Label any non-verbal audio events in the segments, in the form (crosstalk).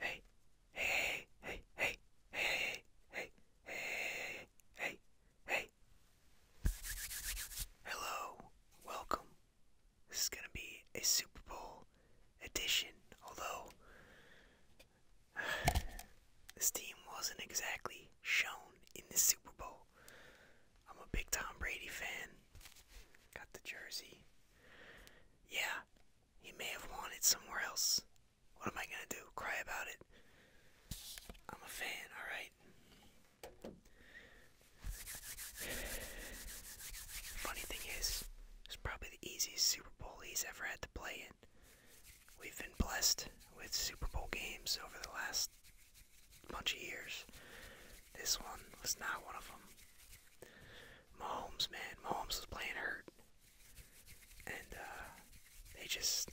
Hey, hey, hey, hey, hey, hey, hey, hey, hey. Hello, welcome. This is gonna be a Super Bowl edition, although (sighs) this team wasn't exactly shown in the Super Bowl. I'm a big Tom Brady fan. Got the jersey. Yeah, he may have won it somewhere else. What am I gonna do? Cry about it? I'm a fan, alright? Funny thing is, it's probably the easiest Super Bowl he's ever had to play in. We've been blessed with Super Bowl games over the last bunch of years. This one was not one of them. Mahomes, man, Mahomes was playing hurt, and uh, they just.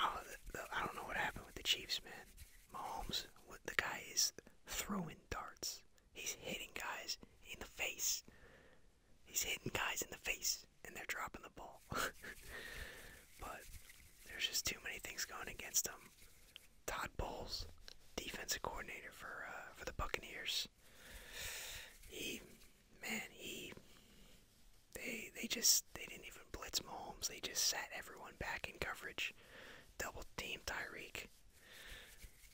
I don't know what happened with the Chiefs, man. Mahomes, what, the guy is throwing darts. He's hitting guys in the face. He's hitting guys in the face and they're dropping the ball. (laughs) but there's just too many things going against them. Todd Bowles, defensive coordinator for uh, for the Buccaneers. He, man, he. They they just they didn't even blitz Mahomes. They just sat everyone back in coverage, double team Tyreek.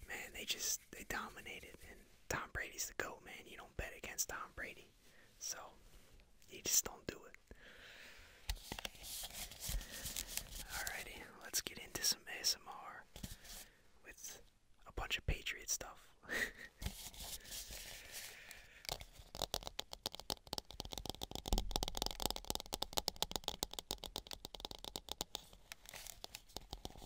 Man, they just they dominated. And Tom Brady's the goat, man. You don't bet against Tom Brady. So you just don't do it. Alrighty, let's get into some ASMR with a bunch of Patriot stuff. (laughs)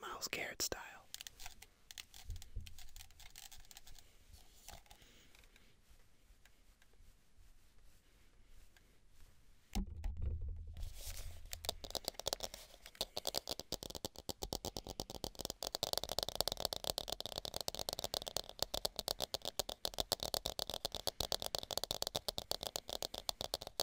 Miles Garrett style.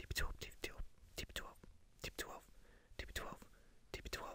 TB12, TB12, TB12, TB12, TB12, TB12.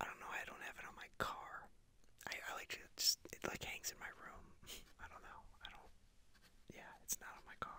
I don't know. I don't have it on my car. I, like just it like hangs in my room. (laughs) I don't know. I don't. Yeah, it's not on my car.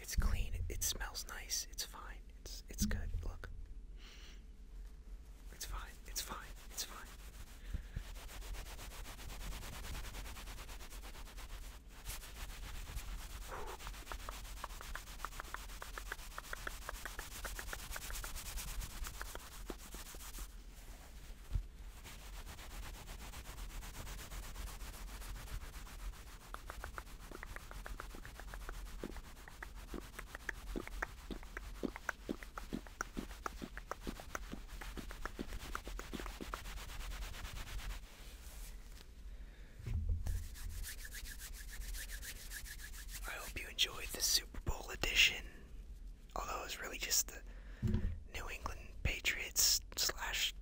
It's clean. It, smells nice. It's fine. It's it's good. Look. It's fine. It's fine. It's fine. I hope you enjoyed the Super Bowl edition. Although it was really just the New England Patriots slash